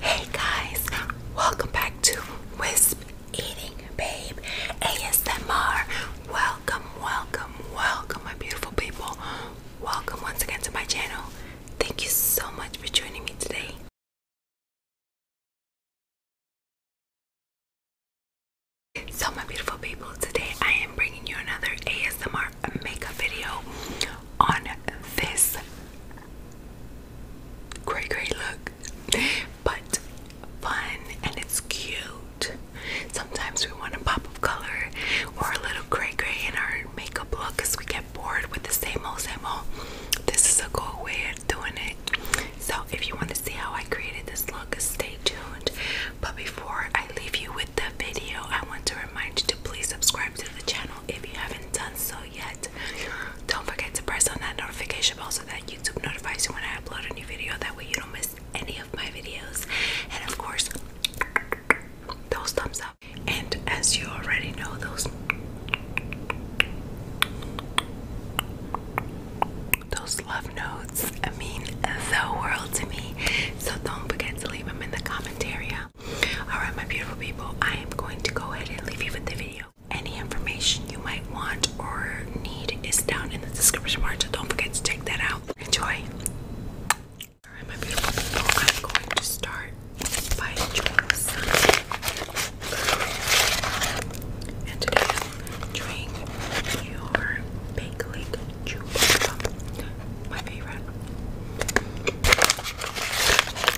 Hey guys, welcome back to Wisp Eating Babe ASMR. Welcome, welcome, welcome, my beautiful people. Welcome once again to my channel. Thank you so much for joining me today. So, my beautiful people, today I am bringing you another ASMR makeup video on this Gray gray look, but fun and it's cute. Sometimes we want a pop of color or a little gray gray in our makeup look because we get bored with the same old, same old. This is a cool way of doing it. So, if you want to see how I created this look, stay tuned. But before I leave you with the video, I want to remind you to please subscribe to the channel if you haven't done so yet, don't forget to press on that notification bell so that YouTube notifies you when I upload a new video. That way, you don't miss any of my videos. And of course, those thumbs up. And as you already know, those those love notes mean the world to me. So don't forget to leave them in the comment area. Alright, my beautiful people, I am going to go ahead and leave you with the video. Any information you might want or need is down in the description bar, so don't forget to check that out. Enjoy! Alright, my beautiful people, I'm going to start by enjoying the sun. And today i My favorite.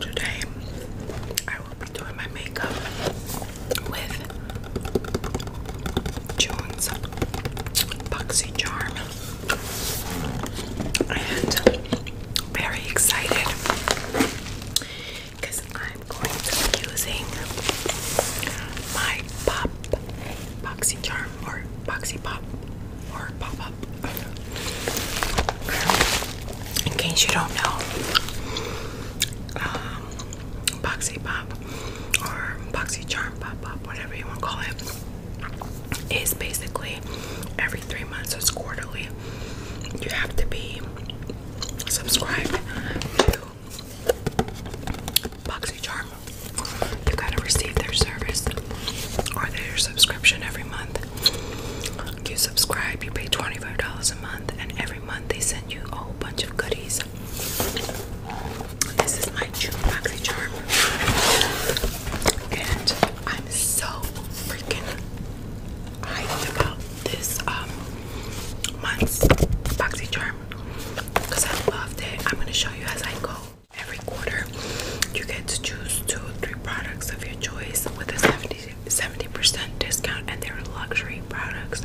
Today, I will be doing my makeup with June's Boxy Charm. And very excited because I'm going to be using my pop boxy charm or boxy pop or pop up in case you don't know, um, Boxy Pop or Boxy Charm Pop Pop, whatever you want to call it, is basically every three months, so it's quarterly. You have to be subscribed to Boxy Charm. You gotta receive their service or their subscription every month. You subscribe, you pay $25 a month, and every month they send you a whole bunch of goodies. This is my June boxy Charm. And I'm so freaking hyped about this um month's Boxy Charm because I loved it. I'm gonna show you as I go. Every quarter you get to choose two or three products of your choice with a 70 percent discount, and they're luxury products.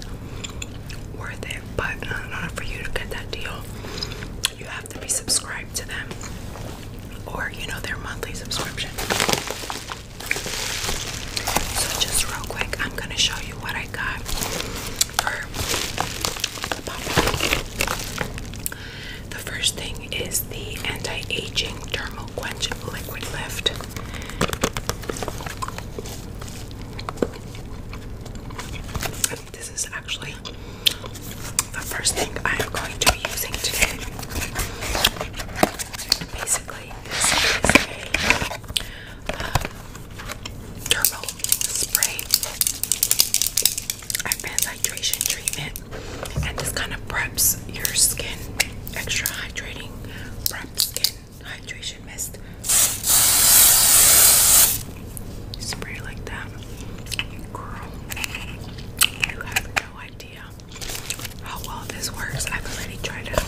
Worth it, but not order for you to get that deal, you have to be subscribed to them or you know their monthly subscription. So, just real quick, I'm gonna show you what I got for the pop the first thing is the anti-aging thermal quench liquid lift. this is actually the first thing I am going to be using today. Basically, this is a um, spray. i hydration treatment and this kind of preps your skin extra hydrating prep skin hydration mist spray like that girl you have no idea how well this works I've already tried it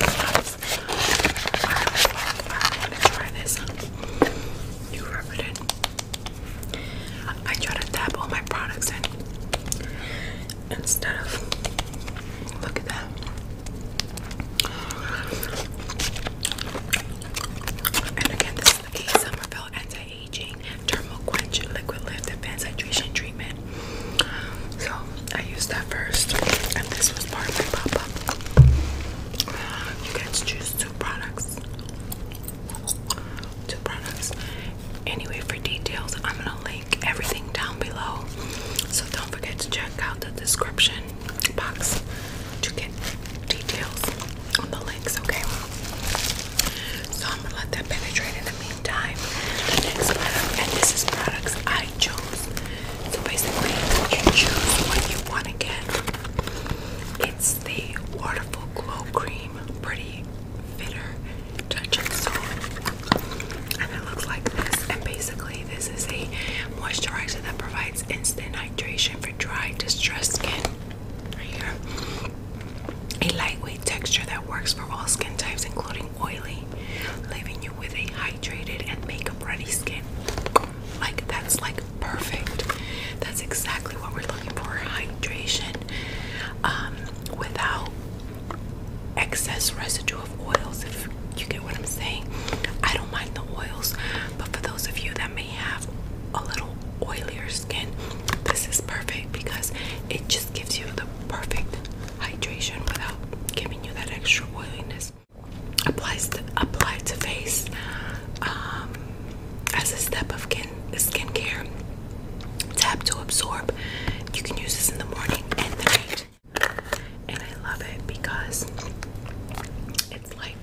I want to try this you rub it in I try to dab all my products in Instead of look at that. And again, this is the A Anti-Aging Dermal Quench Liquid Lift Advanced Hydration Treatment. So I used that first, and this was part of my pop-up. You guys choose two products two products. Anyway, for details, I'm gonna link everything down below. So don't forget to check out the description box to get details on the links, okay? So I'm gonna let that penetrate in the meantime. The next product, and this is products I chose. So basically, you choose what you want to get. It's the Waterful Glow Cream Pretty fitter Touching of soap. And it looks like this. And basically, this is a moisturizer that provides instant hydration for dry, distressed skin. Right here. A lightweight texture that works for all skin types, including oily, leaving you with a hydrated and makeup ready skin. Like, that's like perfect. That's exactly what we're looking for hydration. Um, without excess residue of oils, if you get what I'm saying. I don't mind the oils, but for those of you that may have a little oilier skin, this is perfect because it just gives you the perfect hydration without giving you that extra oiliness. Applies to, applied to face um, as a step of skin skincare tap to absorb. You can use this in the morning and the night. And I love it because it's like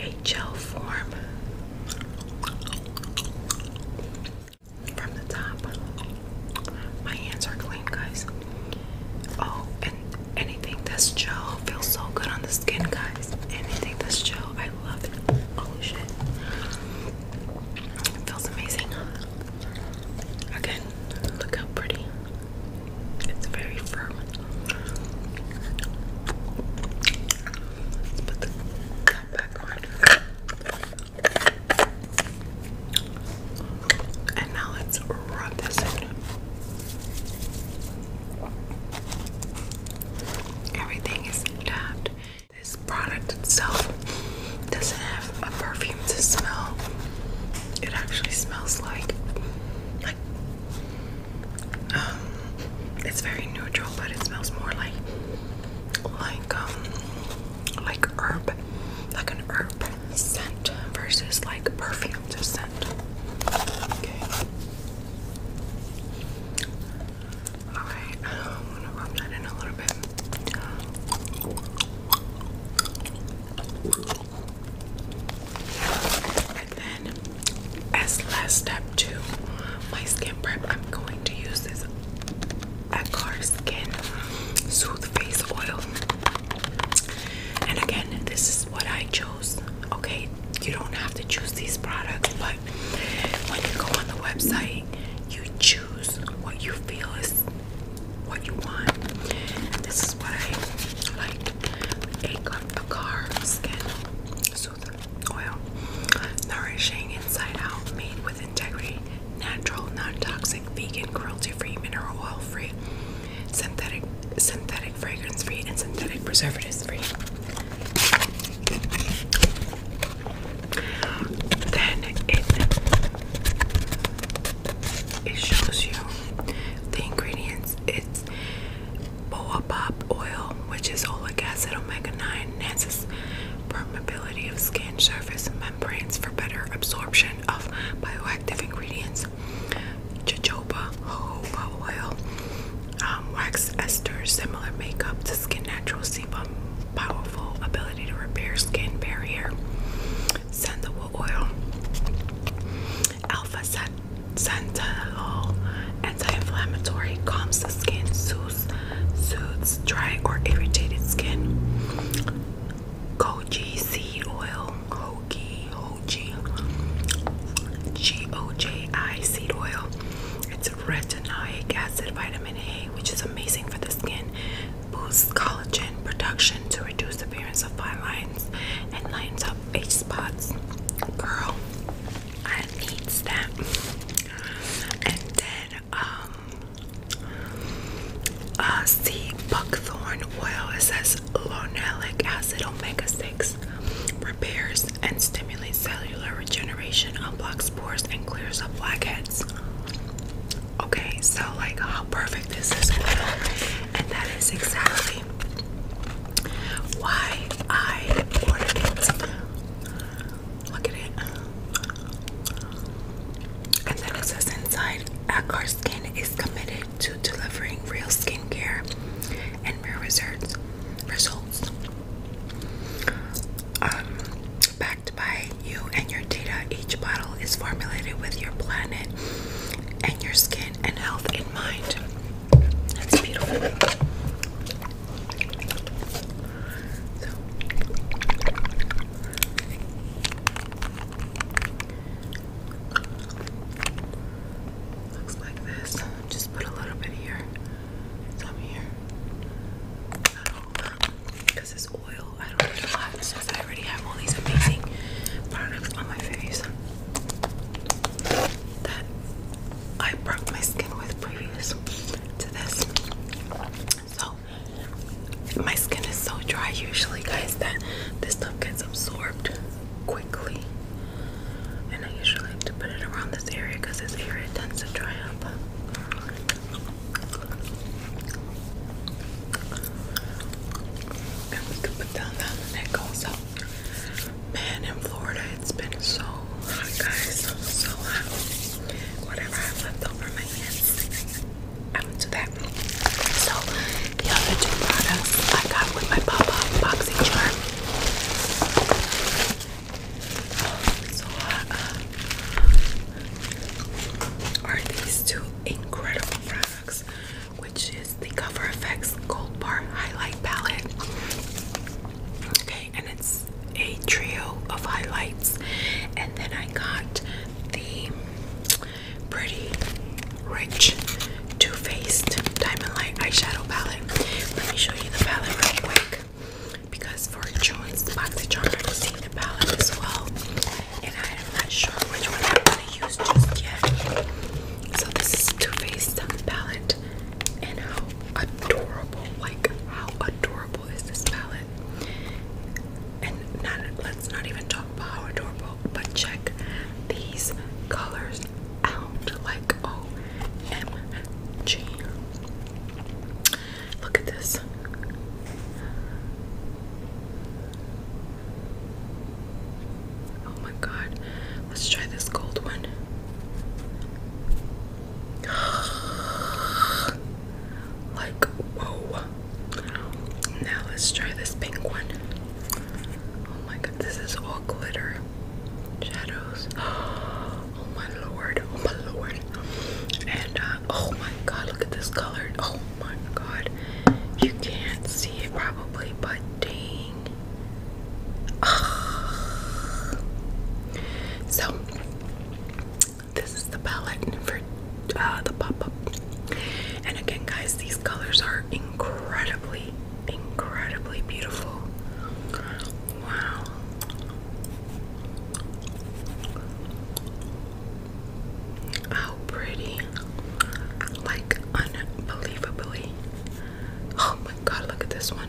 a gel form from the top. My hands are clean, guys. Oh, and anything that's gel feels so good on the skin, guys. Anything that's gel, I love Oh shit. It feels amazing. Again, look how pretty. It's very firm. Let's put the cup back on. And now let's rub this in. Everything is tapped this product itself doesn't have a perfume to smell. It actually smells like like um it's very neutral but it smells more like like um like herb like an herb scent versus like perfume to scent. Okay. Alright, um, I'm gonna rub that in a little bit. And then, as last step to my skin prep, I'm going to use this Acar Skin Soothe Face Oil. And again, this is what I chose. Okay, you don't have to choose these products, but when you go on the website, you choose what you feel is what you want. This is why I like a, the car skin soother oil, nourishing inside out, made with integrity, natural, non-toxic, vegan, cruelty-free, mineral oil-free, synthetic, synthetic fragrance-free, and synthetic preservatives-free. Then it it shows you the ingredients. It's boabab oil, which is oleic acid, omega nine, enhances permeability of skin surface membranes for better absorption of bioactive ingredients. Jojoba jojoba oil, um, wax esters, similar makeup to skin natural sebum powerful ability to repair skin barrier. Sandalwood oil, alpha set, oil, anti-inflammatory, calms the skin, soothes, soothes dry or irritated skin. Goji seed oil, hoji, hoji, G O J I seed oil retinoic acid vitamin A, which is amazing for the skin, boosts collagen production to reduce appearance of fine lines and lines up age spots. Girl, I need that. And then um uh buckthorn oil it says lonelic acid omega 6 repairs and stimulates cell regeneration unblocks pores and clears up blackheads. Okay, so like how perfect is this And that is exactly why I ordered it. Look at it. And then it says inside, Akar Skin is committed to delivering real skincare and real results. Results. Um, by you and your data. Each bottle is formulated with your planet and your skin and health in mind. That's beautiful. So. Looks like this. Just put a little bit here. Some here because it's oil. I don't need a lot since I already have all these amazing products on my face that I broke my skin with previous to this. So my skin is so dry usually, guys, that this stuff gets absorbed quickly. And I usually like to put it around this area because this area tends to dry up. And we could put down down neck also. Man, in Florida, it's been so hot, guys. So Whatever I left over my hands, I do do that. So, the other two products I got with my pop up charm. So, uh, uh, are these two incredible products, which is the Cover FX Gold Bar Highlight Palette. Okay, and it's a trio of highlights, and then I got the Pretty Rich Two Faced Diamond Light Eyeshadow Palette. Let me show you the palette real quick because for Jones, the box of chocolate, I've seen the palette as well, and I'm not sure which one I'm gonna use just yet. So this is Too Faced palette, and how adorable! Like how adorable is this palette? And not let's not even talk about how adorable, but check these colors out. Like oh, Look at this. Oh my god. Let's try this gold one. like, whoa. Now let's try this pink one. Oh my god, this is all glitter. Shadows. Oh Oh my lord, oh my lord. And uh, oh my god, look at this color. Oh my god. You can't see it probably, but dang. So, this is the palette for uh, the pop up. And again, guys, these colors are incredibly, incredibly beautiful. Wow. How pretty. Like unbelievably. Oh my god, look at this one.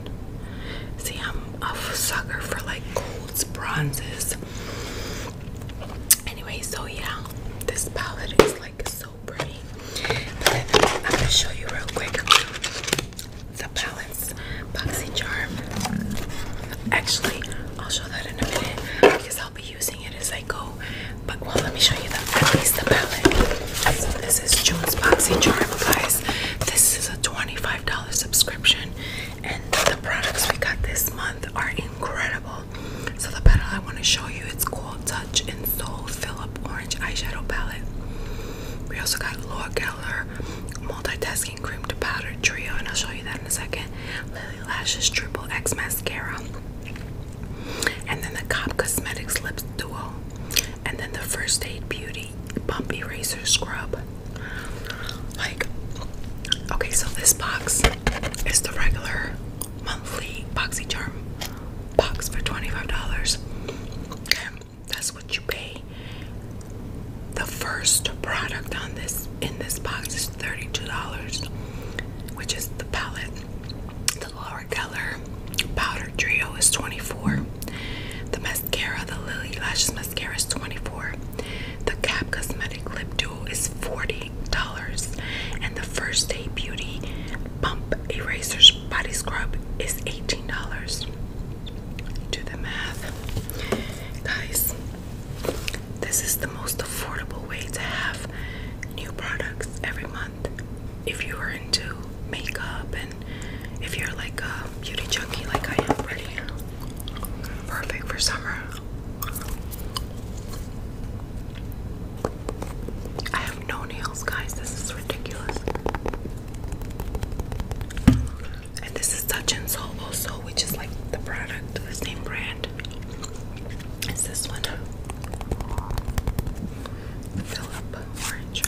See, I'm a sucker for like golds, bronzes. Anyway, so yeah, this palette is like so pretty. But I'm gonna show you real quick. It's a Balance Boxy Charm. Actually, I'll show that in a minute because I'll be using it as I go. But well, let me show you the, at the palette. this is June's Boxy Charm, guys. This is a $25 subscription, and the products we got this month are incredible. So the palette I want to show you, it's called Touch and Soul Philip Orange Eyeshadow Palette. We also got Laura Geller Multitask Cream to Powder Trio, and I'll show you that in a second. Lily Lashes Triple X Mascara. And then the Cop Cosmetics Lips Duo. And then the First Aid Beauty Bump Eraser Scrub. Like, okay, so this box is the regular monthly Charm box for $25. Okay, that's what you pay. The first product on this in this box is $32, which is the palette. The Laura Keller powder trio is 24. The mascara, the Lily Lashes mascara is 24. The Cap Cosmetic Lip Duo is $40. And the First Day Beauty Bump Erasers Body Scrub is $18. Do the math. Guys, this is the most affordable way to have new products every month. If you are into makeup and if you're like a beauty junkie like I am right Perfect for summer. I have no nails, guys. This is ridiculous and this is Touch and Soul also, which is like the product, the same brand. It's this one, Philip Orange.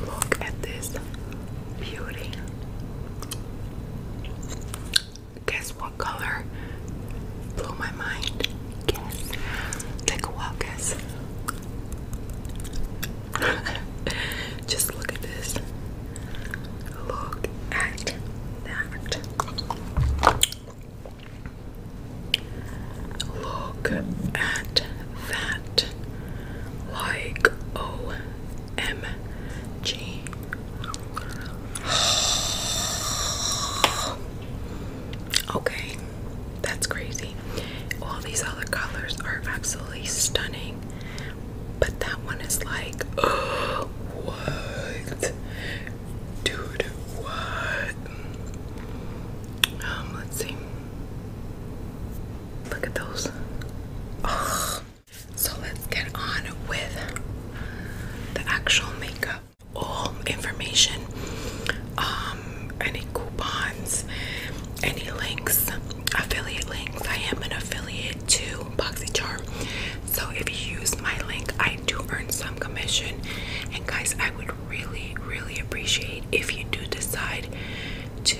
Look at this beauty. Guess what color blew my mind? Guess. Take a walk. guess. Just look at this. Look at that. Look at that. Like OMG. Okay, that's crazy. All these other colors are absolutely stunning, but that one is like, what? Dude, what? Um, let's see. Look at those. Oh. So let's get on with the actual makeup all information, um, any coupons, any links, affiliate links. I am an affiliate to BoxyCharm, so if you use my link, I do earn some commission. And guys, I would really, really appreciate if you do decide to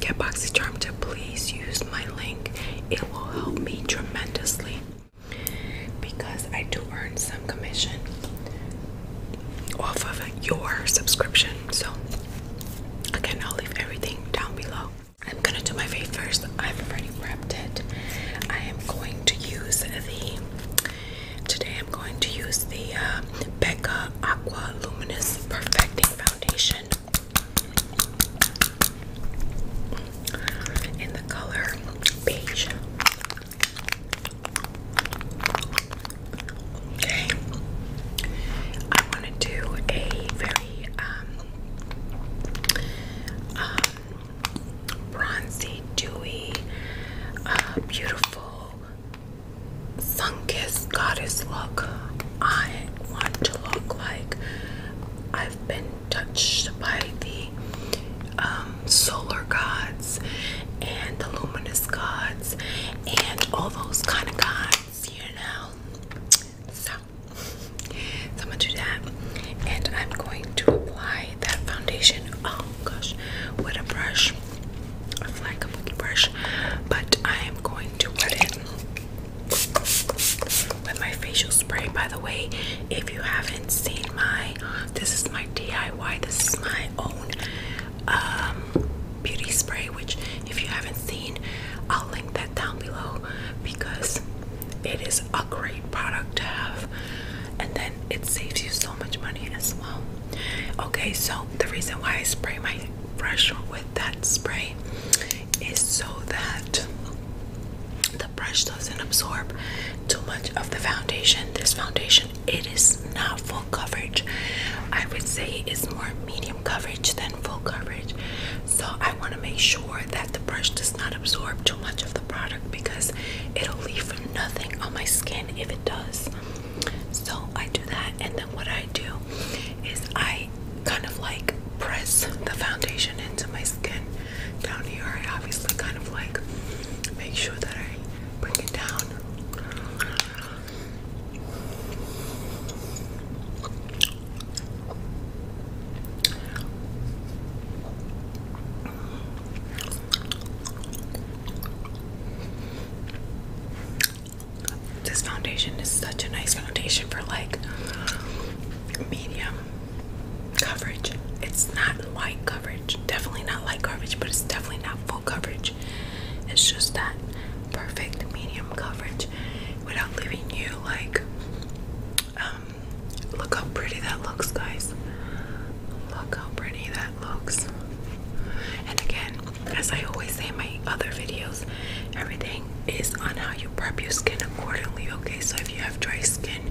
get BoxyCharm to please use my link. It will help me tremendously because I do earn some commission off of your subscription. So, again, I'll leave everything down below. I'm gonna do my face first. I've already prepped it. I am going to use the today. I'm going to use the uh, Becca Aqua Luminous Perfecting Foundation in the color beige. Okay. I want to do a very um, um, bronzy, dewy, uh, beautiful, sun-kissed goddess look. I want to look like I've been touched by the um, solar gods and the luminous gods and all those kind of gods, you know. So, I'm gonna do that, and I'm going to apply that foundation. Oh gosh, with a brush, a flat brush, but I am going to put it with my facial spray. By the way, if you haven't seen my this is my DIY. This is my own um, beauty spray, which if you haven't seen, I'll link that down below because it is a great product to have. And then it saves you so much money as well. Okay, so the reason why I spray my brush with that spray is so that the brush doesn't absorb too much of the foundation. This foundation, it is not full coverage. I would say it's more medium coverage than full coverage. So I want to make sure that the brush does not absorb too much of the product because it'll leave nothing on my skin if it does. So I do that and then what I do is I kind of like press the foundation into my skin down here, I obviously kind of like make sure that I bring it down. This foundation is such a nice foundation for like medium coverage. It's not light coverage. Definitely not light coverage, but it's definitely not full coverage. It's just that perfect medium coverage without leaving you like um look how pretty that looks guys. Look how pretty that looks. And again, as I always say in my other videos, everything is on how you prep your skin accordingly, okay? So if you have dry skin,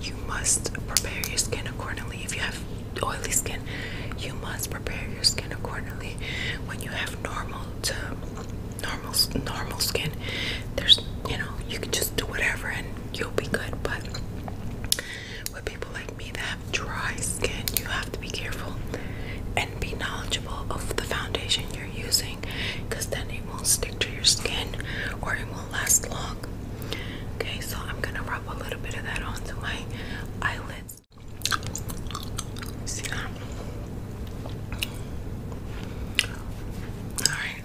you must prepare your skin accordingly. If you have oily skin, you must prepare your skin accordingly. When you have normal to normal normal skin, there's you know you can just do whatever and you'll be good. But with people like me that have dry skin, you have to be careful and be knowledgeable of the foundation you're using, because then it won't stick to your skin or it won't last long. Okay, so I'm gonna rub a little bit of that onto my eyelids. See that? Alright,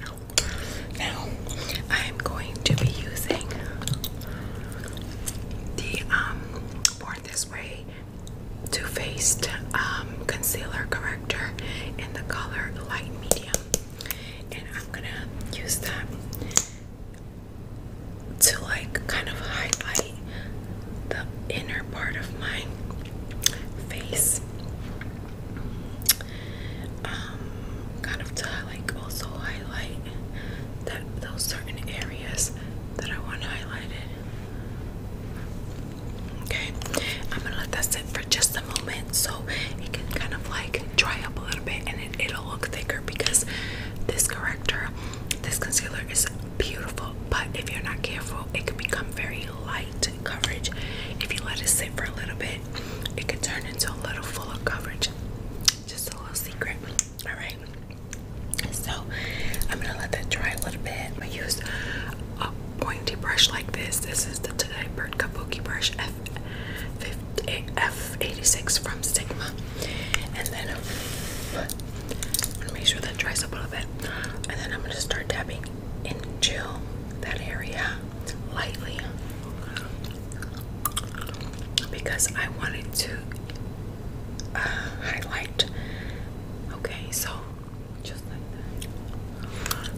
now I am going to be using the Born um, This Way Too Faced um, Concealer Corrector in the color Light Medium and I'm gonna use that to like kind of highlight the inner part of my face um kind of to like also highlight that those certain areas that I want highlighted okay I'm gonna let that sit for just a moment so it can kind of like dry up a little bit and it, will look thicker because this corrector, this concealer is beautiful, but if you're not careful, it can become very light coverage. If you let it sit for a little bit, it can turn into a little fuller coverage. Just a little secret. Alright. So I'm gonna let that dry a little bit. I'm gonna use a pointy brush like this. This is the Today Bird Kabuki brush F, F86 from Sigma. And then I'm um, gonna make sure that dries up a little bit. And then I'm gonna start tapping and chill that area lightly because I wanted to uh, highlight. Okay, so just like that.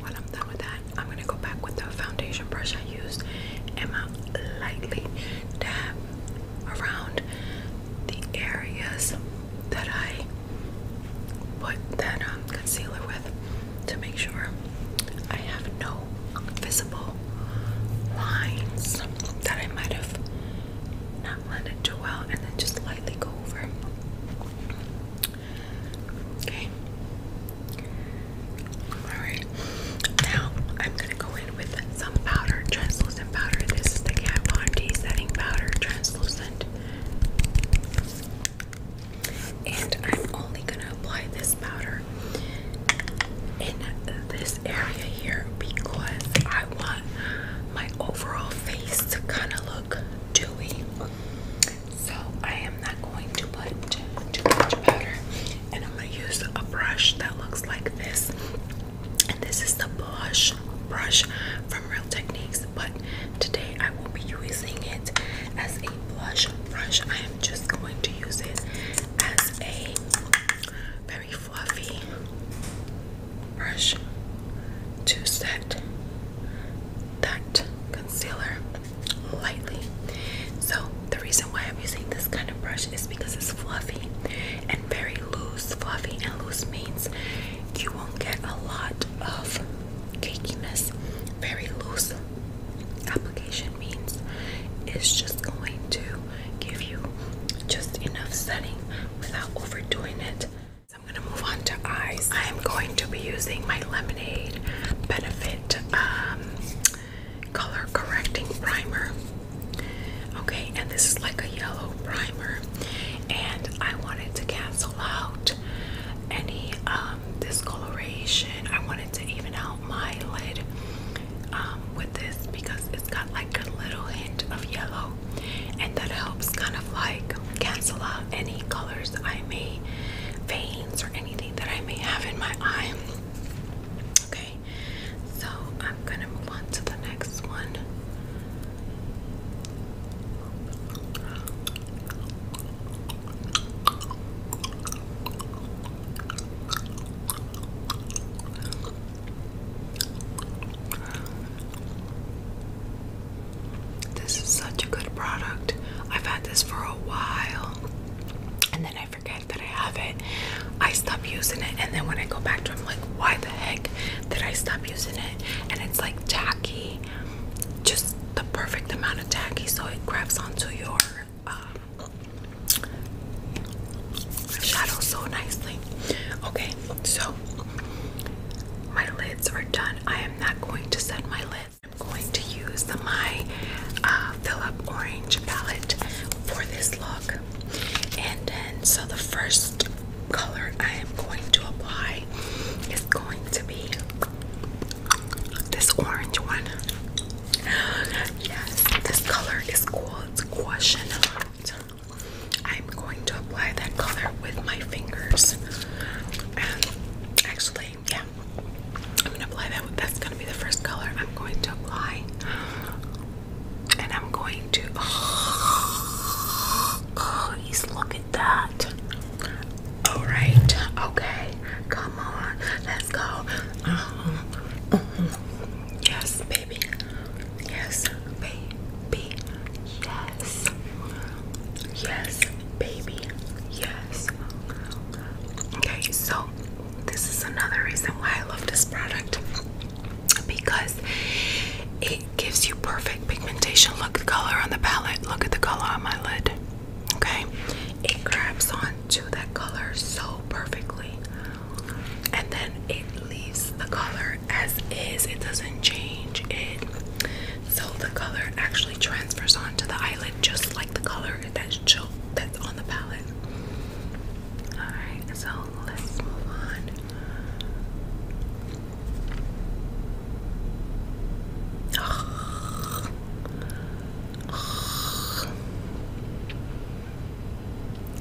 While I'm done with that, I'm gonna go back with the foundation brush I used and my lightly dab around the areas that I put that um, concealer with to make sure I have no visible lines that I might have not blended too well, and then just lightly go over. Okay. Alright. Now I'm gonna go in with some powder, translucent powder. This is the Kat Von D setting powder, translucent. And I'm only gonna apply this powder in this area here because I want my overall face to kind of look dewy so I am not going to put too much powder, and I'm gonna use a brush that looks like this. And this is the blush brush from Real Techniques, but today I will be using it as a blush brush. I am just going to use it as a very fluffy brush to set that concealer lightly. So the reason why I'm using this kind of brush is because it's fluffy and very loose. Fluffy and loose means you won't get a lot of cakeiness. Very loose application means it's just going to give you just enough setting without overdoing it. So I'm gonna move on to eyes. I am going to be using my Lemonade Benefit um, color correcting primer. Okay, and this is like a yellow primer, and I wanted to cancel out any um, discoloration. I wanted to even out my lid um, with this because it's got like a little hint of yellow, and that helps kind of like cancel out any colors I may veins or that I may have in my eye. Okay, so I'm gonna move on to the next one. This is such a good product. I've had this for a while and then I forget that I have it. I stop using it and then when I go back to it, I'm like, why the heck did I stop using it? And it's like tacky, just the perfect amount of tacky so it grabs onto your um, shadow so nicely. Okay, so my lids are done. I am not going to set my lids. I'm going to use the my uh, Philip Orange palette for this look. And then, so the first color I am going to apply is going to be this orange one. Yes, this color is called Quashionette. I'm going to apply that color with my fingers. and actually, yeah, I'm gonna apply that. That's gonna be the first color I'm going to apply, and I'm going to. Oh, please look at that. All right, okay, come on, let's go. Uh -huh. Uh -huh. Yes, baby. Yes, baby. Yes. Yes, baby. Yes. Okay, so this is another reason why I love this product because it gives you perfect pigmentation. Look at the color on the palette. Look at the color on my lid. Okay, it grabs on to that color so perfectly, and then it leaves the color as is. It doesn't change it, so the color actually transfers onto the eyelid just like the color that's cho that's on the palette.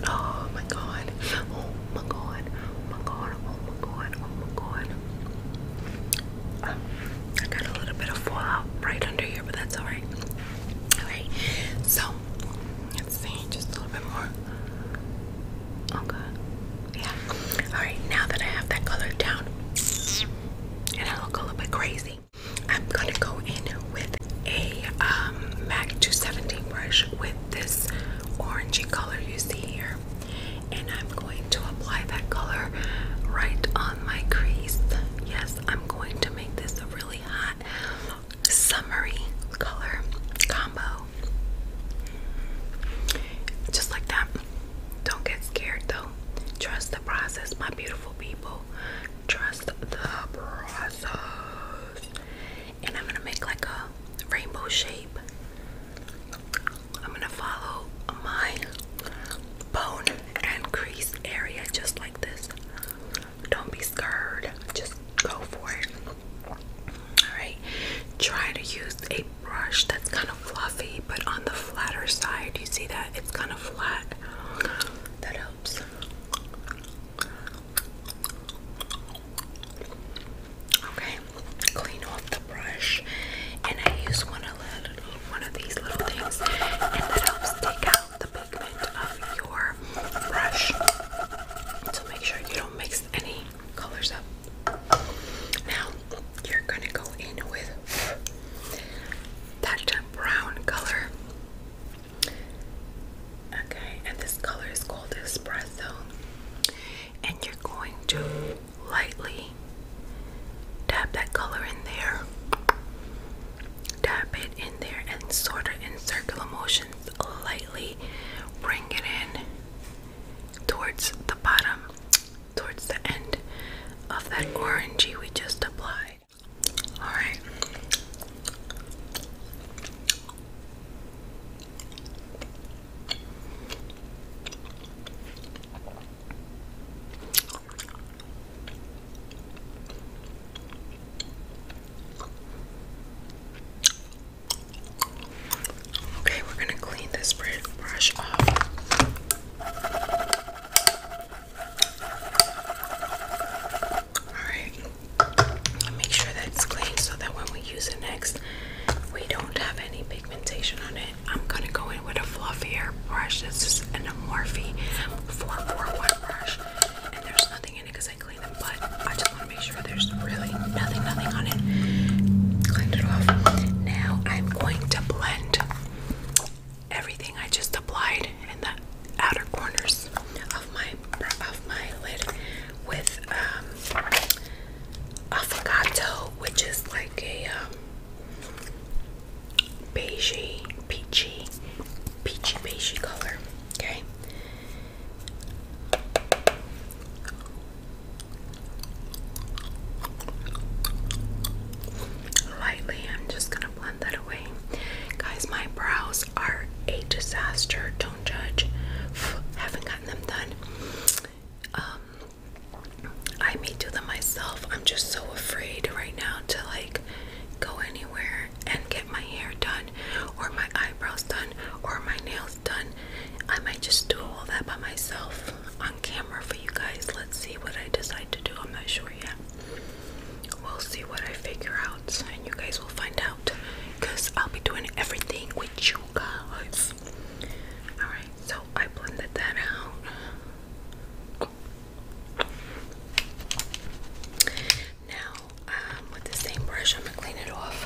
oh my god. Oh my god. Oh my god. Oh my god. Oh my god. I got a little bit of fallout right under here, but that's alright. Alright, so let's see, just a little bit more. Okay, oh, yeah. Alright, now that I have that color down and I look a little bit crazy, I'm gonna go in with a um, MAC 217 brush with this orangey color you see here and I'm going to apply that color right on my crease. Yes, I'm going to make this a really hot, summery color combo. Just like that. Don't get scared though. Trust the process, my beautiful people. Trust the process. And I'm gonna make like a rainbow shape. I'm gonna follow my bone and crease area just like this. Don't be scared, just go for it. Alright, try to use a brush that's kind of fluffy but on the flatter side. You see that? It's kind of flat. That helps. Okay, clean off brush and I use one of, these little things and that helps take out the pigment of your brush. to make sure you don't mix any colors up. Now you're gonna go in with that brown color. Okay, and this color is called Espresso. And you're going to lightly tap that color in there, dab it in there, and sort of in circular motions lightly. Bring it in towards the bottom, towards the end of that orangey we just applied. Alright. Okay, we're going to clean this brush off. Alright, make sure that it's clean so that when we use it next, we don't have any I'm gonna go in with a fluffier brush. This is an Amorphe 441 brush, and there's nothing in it because I cleaned them, but I just want to make sure there's really nothing, nothing on it. Cleaned it off. Now I'm going to blend everything I just applied in the outer corners of my of my lid with um, avocado, which is like a um, Beige, peachy, peachy, beigey color. Okay. Lightly, I'm just gonna blend that away. Guys, my brows are a disaster. Don't judge. Haven't gotten them done. Um, I may do them myself. I'm just so afraid right now to like go anywhere and get my hair done or my eyebrows done or my nails done. I might just do all that by myself on camera for you guys. Let's see what I decide to do. I'm not sure yet. We'll see what I figure out and you guys will find out because I'll be doing everything with you guys. Alright, so I blended that out. Now, um, with the same brush, I'm gonna clean it off,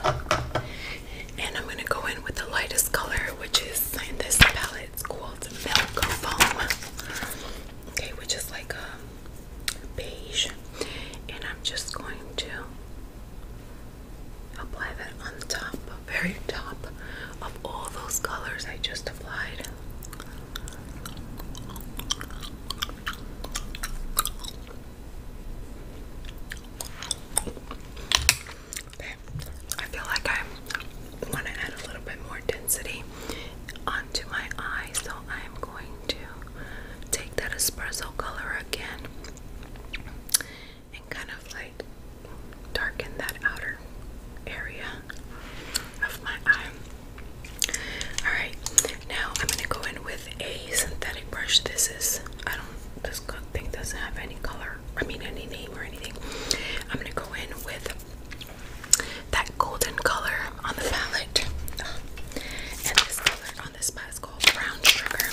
and I'm gonna go in with the lightest color, which is in this palette. It's called Milk Foam. Okay, which is like a um, beige, and I'm just going to apply that on the top, very top of all those colors I just applied. Okay, I feel like I want to add a little bit more density onto my eyes, so I'm going to take that espresso color again and kind of like darken that outer area of my eye. Alright, now I'm gonna go in with a synthetic brush. This is I don't this thing doesn't have any color, I mean any name or anything. I'm gonna go in with that golden color on the palette. And this color on this palette is called brown sugar.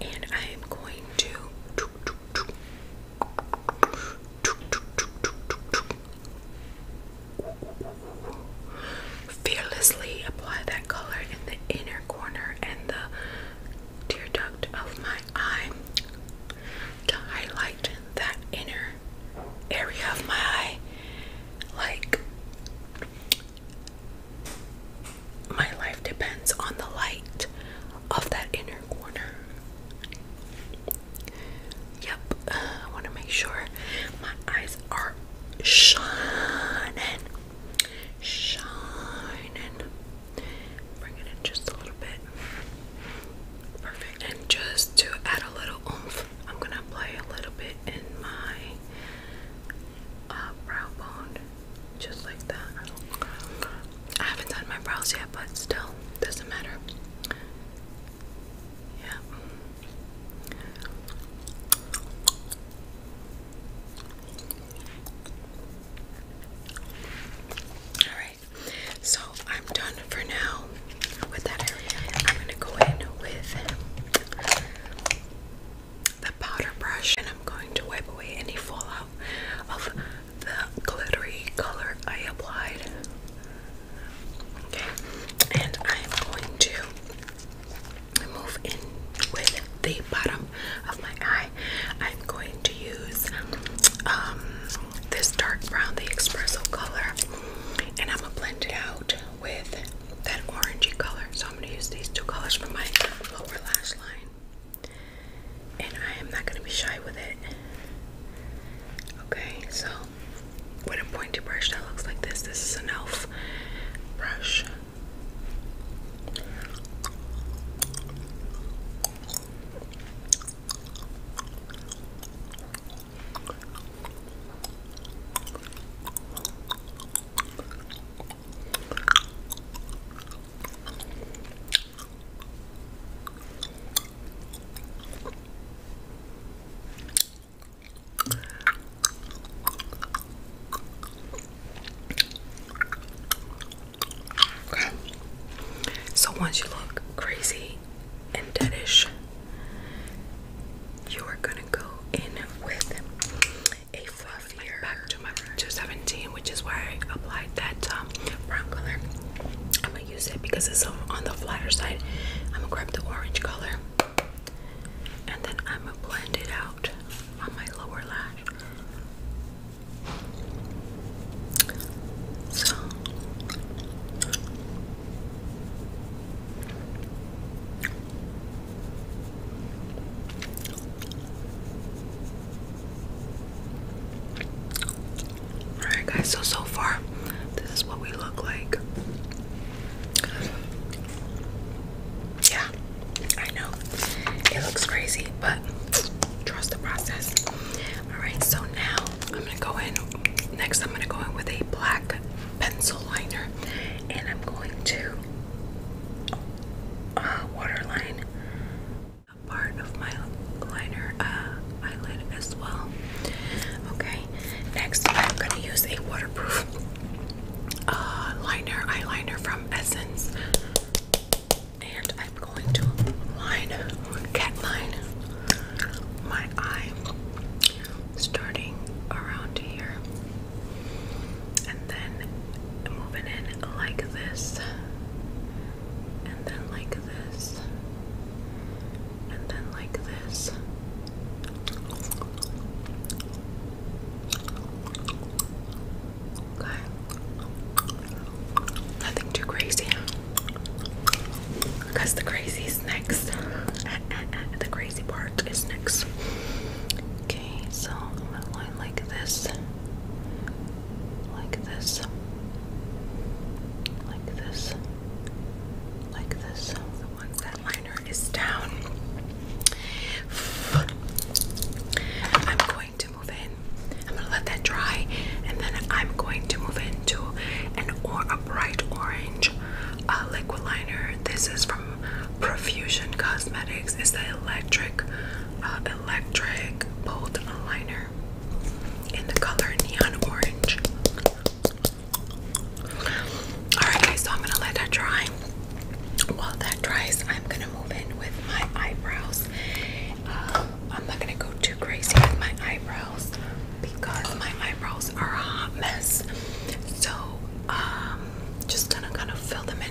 And I am going to Fearlessly apply that color in the inner corner and the tear duct of my eye to highlight that inner area of my eye. Like, my life depends on the light of that inner corner. Yep, I want to make sure my eyes are shining, shining. Bring it in just a little bit. Perfect. And just to add a little oomph, I'm gonna play a little bit in my uh, brow bone, just like that. I haven't done my brows yet, but still, doesn't matter. Yeah. Alright, so I'm done for now with that I'm gonna go in with the powder brush and I'm going to wipe away any fallout of the glittery color I applied. Okay, and I'm going to move in with the bottom of my eye. I'm going to use um, this dark brown, the espresso color, and I'm gonna blend it out with that orangey color. So I'm gonna use these two colors for my lower lash line and I am not going to be shy with it. Okay, so with a pointy brush that looks like this, this is an elf brush. So once you look crazy and deadish, you're gonna go in with a fluffier back to my 217, which is why I applied that um, brown color use it because it's um, on the flatter side. I'm gonna grab the orange color and then I'm gonna blend it out on my lower lash. So Alright guys, so so far this is what we look like. Yeah, I know. It looks crazy, but trust the process. Alright, so now I'm gonna go in next I'm gonna go in with a black pencil liner and I'm going to uh, waterline a part of my liner uh, as well. Okay, next I'm gonna use a waterproof uh, liner eyeliner from Essence, and I'm going to line cat line my eye starting around here and then moving in like this and then like this, and then like this. Okay. Nothing too crazy. Because the crazy is next. the crazy part is next. Okay, so I'm going like this. Like this like this, like this. So once that liner is down, I'm going to move in. I'm gonna let that dry, and then I'm going to move into an or a bright orange uh, liquid liner. This is from Profusion Cosmetics. It's the electric, uh, electric bold liner powder in the color neon orange. Alright, guys, so I'm gonna let that dry. While that dries, I'm gonna move in with my eyebrows. Uh, I'm not gonna go too crazy with my eyebrows because my eyebrows are a hot mess. So, um, just gonna kind of fill them in.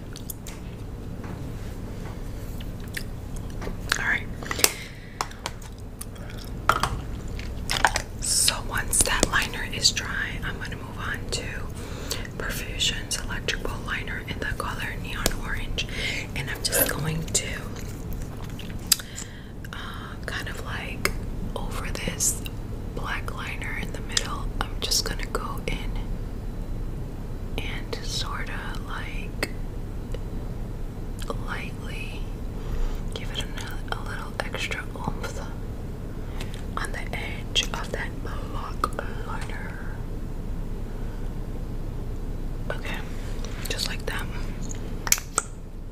All right. So once that liner is dry, I'm going to move on to Perfusion's electrical liner in the color neon orange, and I'm just going to uh, kind of like over this black liner in the middle. I'm just going to go in and sort of like lightly give it a, little extra oomph on the edge of that block liner. Okay, just like that.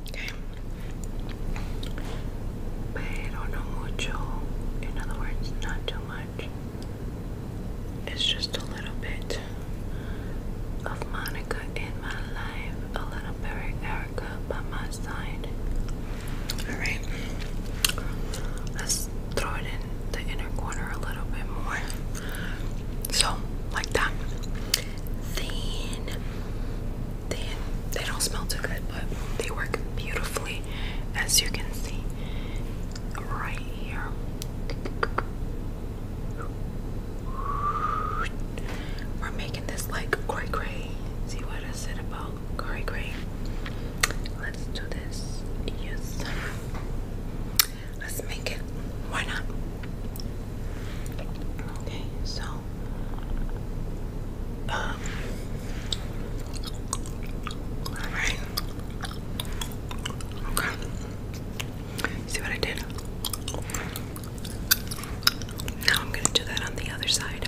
Okay. Pero no mucho. In other words, not too much. It's just a little bit of Monica in my life, a little bit Erica by my side. Alright, let's throw it in the inner corner a little bit more. So, like that. Then, then they don't smell too good, but they work beautifully as you can see right here. We're making this like gray gray. See what I said about gray gray. Let's do this. Yes. Let's make it. Why not? Okay, so um, all right. Okay. See what I did? Now I'm going to do that on the other side.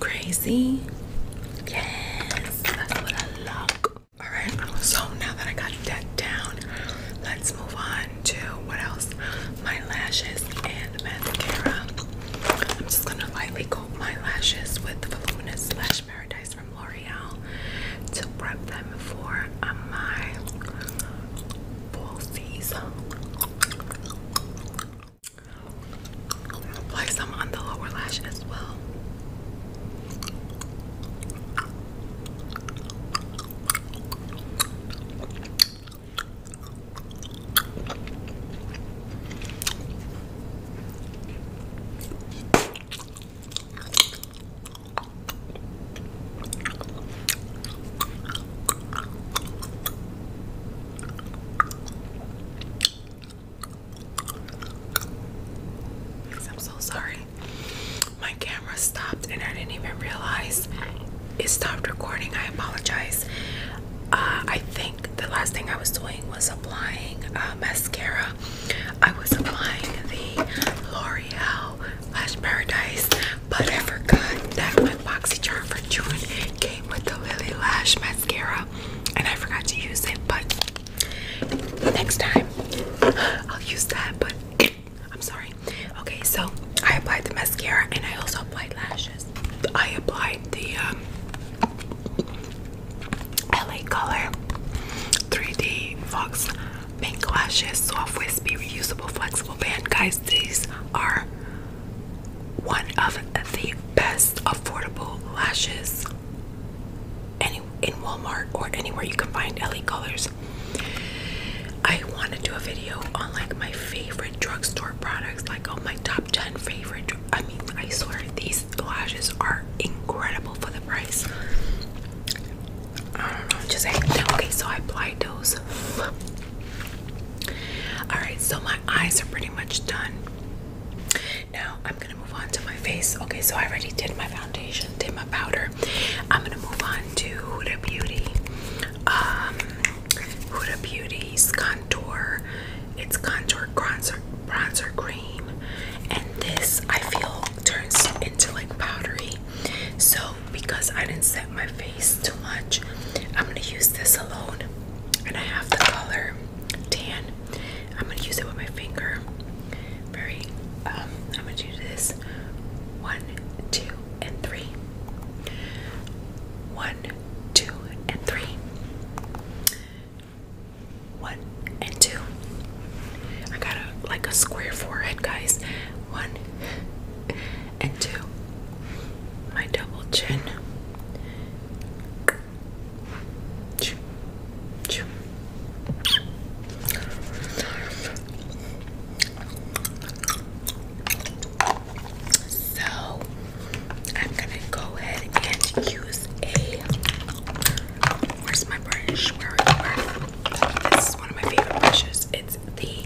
Crazy. Yes, that's what I love. All right, so now that I got that down, let's move on to what else? My lashes and mascara. I'm just gonna lightly coat my lashes with the Voluminous Lash Paradise from L'Oreal to prep them for my fall season. Apply some on the lower lash as well. I'm so sorry. My camera stopped and I didn't even realize it stopped recording. I apologize. Uh, I think the last thing I was doing was applying uh, mascara. I was applying the L'Oreal Lash Paradise, but I forgot that my charm for June came with the Lily Lash Mascara and I forgot to use it, but next time I'll use that. But I'm sorry. Okay, so I applied the mascara and I also applied lashes. I applied the um, LA Color 3D Fox Pink Lashes Soft Wispy Reusable Flexible Band. Guys, these are one of the best affordable lashes any in Walmart or anywhere you can find LA colors. I want to do a video on like my favorite drugstore products, like oh, my top 10 favorite. I mean, I swear these lashes are incredible for the price. I don't know, just saying. Okay, so I applied those. Alright, so my eyes are pretty much done. Now I'm gonna move on to my face. Okay, so I already did my foundation, did my powder. I'm gonna move on to Huda Beauty. Um, Huda Beauty's contour. It's contour bronzer, bronzer cream, and this I feel turns into like powdery. So because I didn't set my face too much, I'm gonna use this alone, and I have the color tan. I'm gonna use it with my finger. Very, um, I'm gonna do this one, two, and three. One, two, and three. One and two. I got like a square forehead, guys. One and two. My double chin. So I'm gonna go ahead and use a. Where's my brush? Where are you? Where? This is one of my favorite brushes. It's the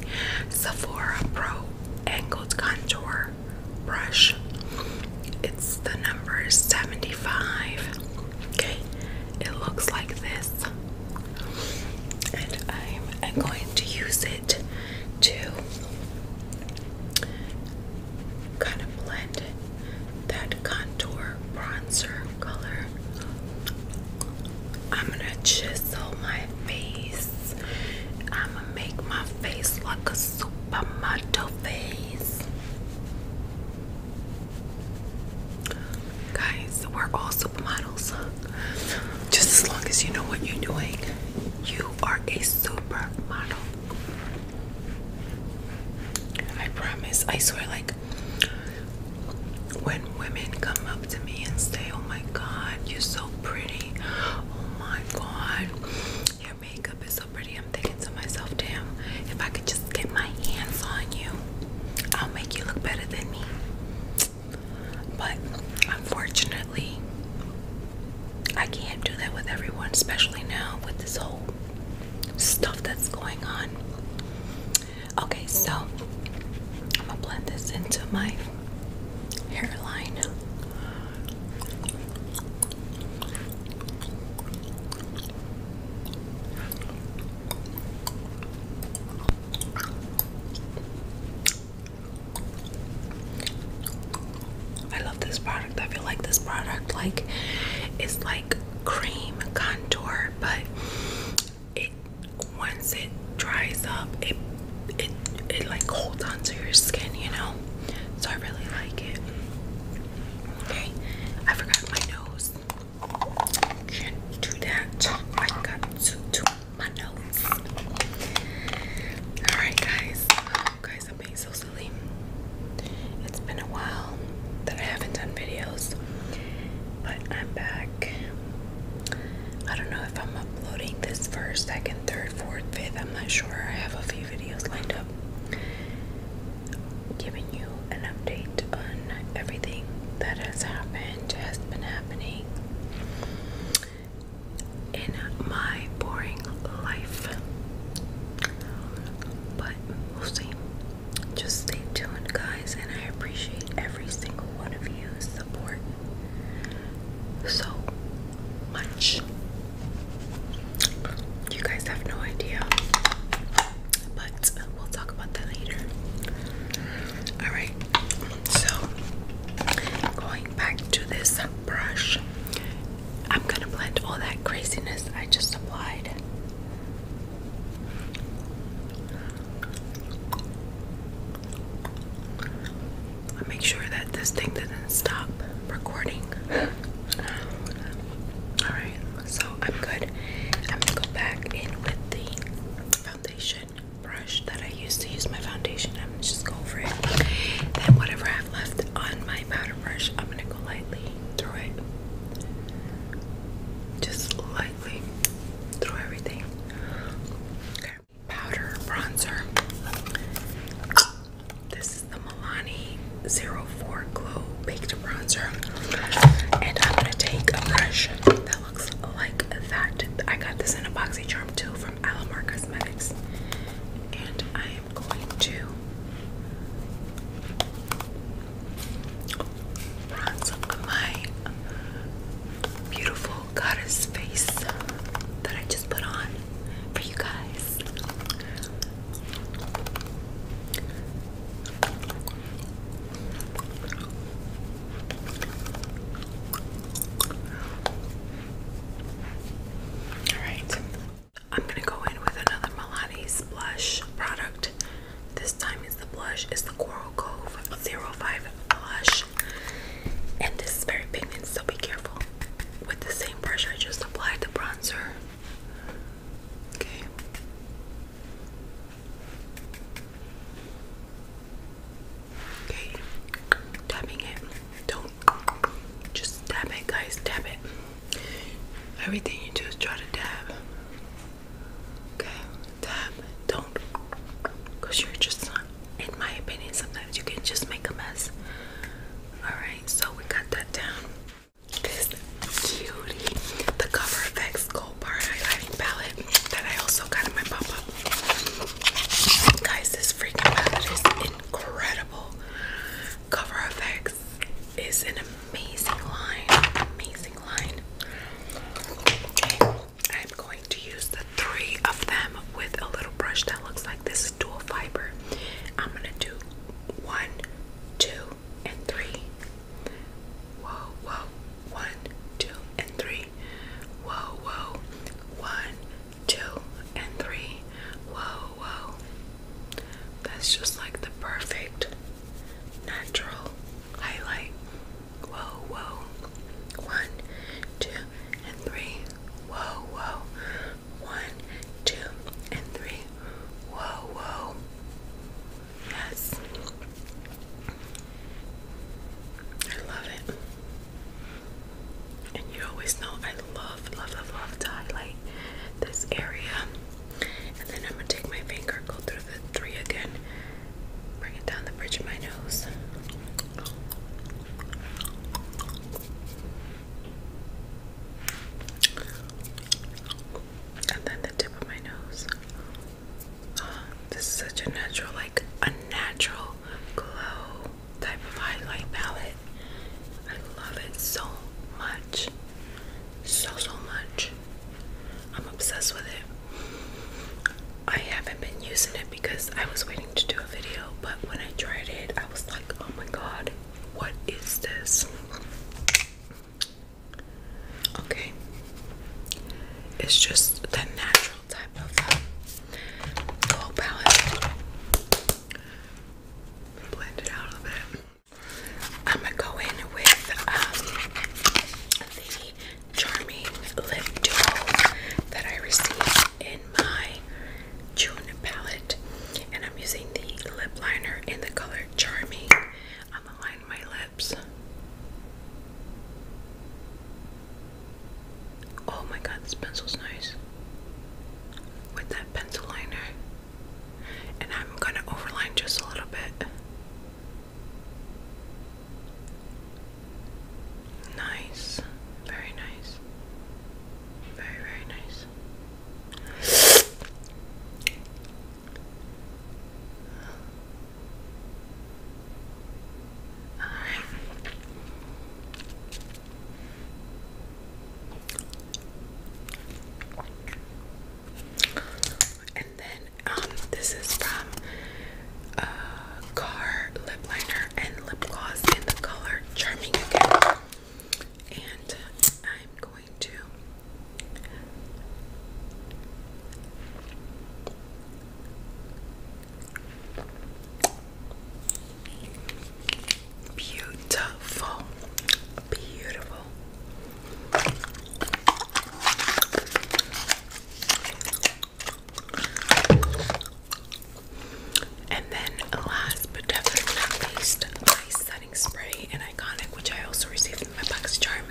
Sephora Pro Angled Contour brush. It's the number 75. Okay, it looks like this, and I'm going to use it to kind of blend that contour bronzer color. I'm gonna chisel my face. I'm gonna make my face look supermodel face. Guys, we're all supermodels. Just as long as you know what you're doing, you are a supermodel. I promise. I swear, like, when women come up to me and say, Oh my god, you're so pretty. Oh my god, makeup is so pretty. I'm thinking to myself, damn, if I could just get my hands on you, I'll make you look better than me. But unfortunately, I can't do that with everyone, especially now with this whole stuff that's going on. Okay, so I'm gonna blend this into my hairline. I love this product. I feel like this product like is like cream contour, but it once it dries up, it it it like holds onto your skin, you know. So I really like it. Okay, I forgot my nose. Can't do that. I got to do my nose. Alright, guys. Oh, guys, I'm being so silly. It's been a while that I haven't done videos, but I'm back. I don't know if I'm uploading this first, second, third, fourth, fifth. I'm not sure. I have a few videos lined up giving you an update on everything that has happened, has been happening in my boring life. But we'll see. Just stay tuned, guys, and I appreciate every single one of you support so much. You guys have no idea, but we'll talk about that later. All right, so going back to this brush, I'm gonna blend all that craziness I just applied. I make sure that this thing doesn't stop recording. Alright, so I'm good. I'm gonna go back in with the foundation brush that I used to use my foundation. I'm just go over it. Then whatever I have left on my powder brush, I'm gonna go lightly through it. Just lightly through everything. Okay. Powder bronzer. This is the Milani 04 Glow Baked Bronzer. And I'm going to take a brush that looks like that. I got this in a boxy charm too from Alamar Cosmetics. And I am going to bronze my beautiful goddess face that I just put on for you guys. All right. I'm going to go in with another Milani's blush product. This time it's the blush. It's the Coral Cove 05 blush. And this is very pigmented, so be careful with the same brush I just applied the bronzer. Okay. Okay, tapping it. Don't just tap it, guys. Tap it. Everything you do is try to tap. Okay, tap. Don't, because you're just In my opinion, sometimes you can just make a mess. All right so we got that down. This cutie, the Cover Gold Bar Highlighting Palette that I also got in my pop up. Guys, this freaking palette is incredible. Cover is an amazing line. Amazing line. I'm going to use the three of them with a little brush that looks like this is dual fiber. I'm gonna do one, two, and three. Whoa, whoa, one, two, and three. Whoa, whoa, one, two, and three. Whoa, whoa. That's just like the perfect natural highlight. Whoa, whoa. One, two, and three whoa, whoa. One, two, and three. Whoa, whoa. Yes. I love it. And you always know I love, love, love, love to highlight this area. And then I'm going to take my finger, go through the three again, bring it down the bridge of my nose and then the tip of my nose. Ah, this is such a natural, like a natural glow type of highlight palette. I love it so much. So, so much. I'm obsessed with it. I haven't been using it because I was waiting to do a video, but when I tried it, I was like, oh my god, what is this? Okay. It's just the natural type of whole um, palette. Blend out a bit. I'm gonna go in with um, the Charming Lip Duo that I received in my June palette, and I'm using the lip liner in the color Charming on the line of my lips. Oh my god, this pencil's nice. With that pencil liner. And I'm gonna overline just a little bit. Nice. Very nice. Very, very nice. And then um this is from uh Car Lip Liner and Lip Gloss in the color Charming again and I'm going to beautiful, beautiful. And then last but definitely not least, my setting spray and Iconic, which I also received in my box charm.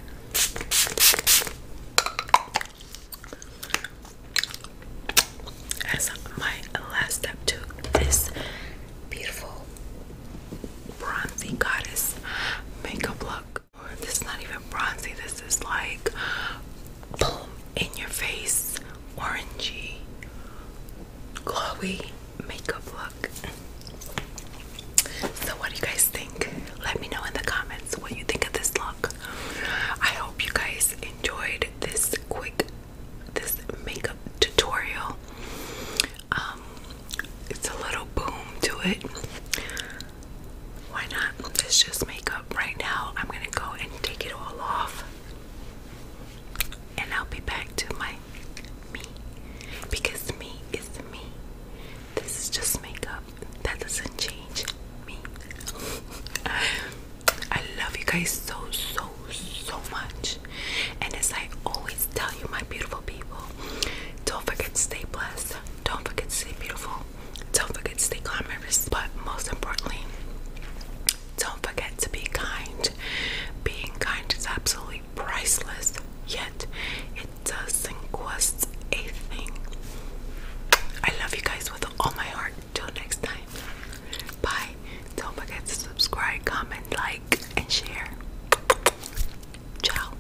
As my last step to this beautiful bronzy goddess makeup look. This is not even bronzy, this is like in your face, orangey, glowy makeup look. So, what do you guys think? Let me know in the comments what you think of this look. I hope you guys enjoyed this quick this makeup tutorial. Um, it's a little boom to it. Why not? It's just makeup right now. I'm gonna go and take it all off and I'll be back to my me because me is me. This is just makeup that doesn't change me. I love you guys so so so much, and as I always tell you, my beautiful people, don't forget to stay blessed, don't forget to stay beautiful, don't forget to stay glamorous, but most importantly, don't forget to be kind. Being kind is absolutely priceless, yet it doesn't cost a thing. I love you guys with all my heart. Until next time. Bye. Don't forget to subscribe, comment, like, and share. Ciao.